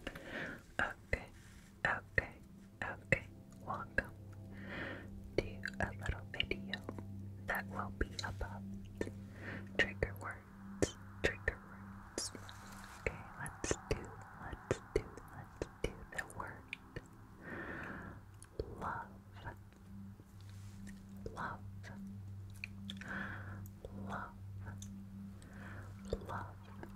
Okay, okay, okay. Welcome to a little video that will be about trigger words. Trigger words. Okay, let's do, let's do, let's do the word love. Love. Love. Love.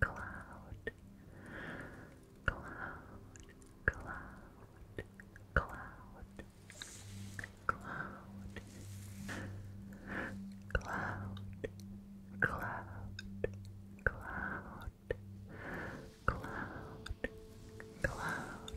cloud, cloud, cloud, cloud, cloud, cloud, cloud, cloud, cloud, cloud, cloud, cloud, cloud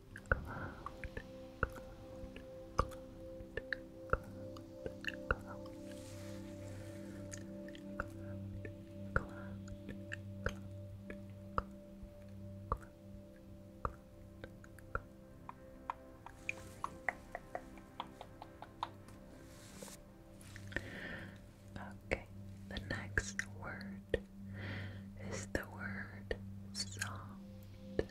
cloud, cloud, Okay, the next word is the word soft.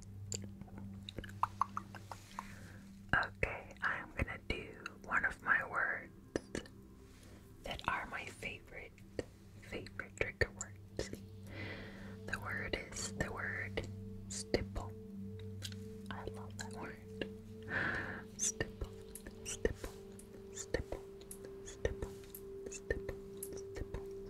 Okay, I'm gonna do one of my words that are my favorite, favorite trigger words. The word is the word stipple. I love that word. Stipple, stipple, stipple, stipple, stipple, stipple,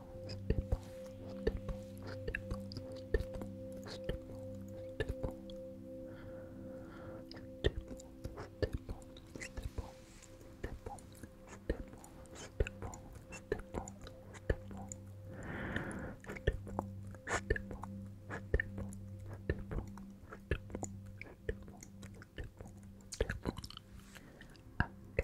dimples, dimples, dimples, dimples, dimples, dimples, dimples. Dimples, dimples, dimples, Stipple, stipple, stipple, stipple, stipple, stipple, stipple, stipple. Okay,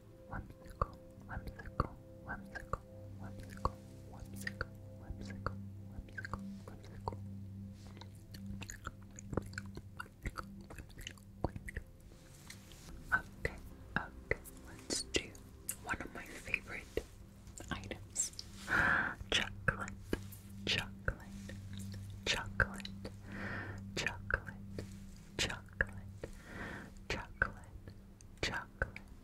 one whimsical, whimsical, whimsical, one whimsical, whimsical, whimsical. Okay, okay, let's do one of my favorite items. Chocolate, chocolate, chocolate, chocolate, chocolate, chocolate, chocolate,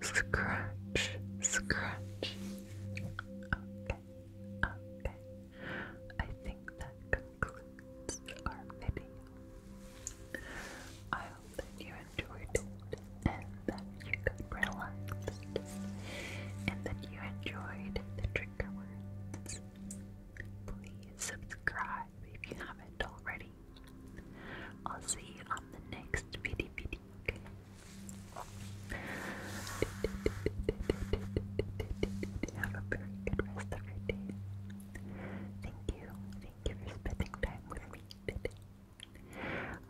Scratch, scratch. Okay, okay. I think that concludes our video. I hope that you enjoyed it and that you got relaxed and that you enjoyed the trigger words. Please subscribe if you haven't already. I'll see you on the next video. okay? Have a very good rest of your day. Thank you. Thank you for spending time with me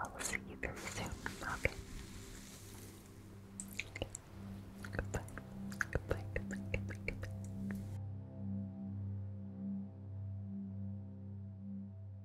I will see you very soon. Okay. okay. Goodbye. Goodbye. Goodbye. Goodbye. Goodbye.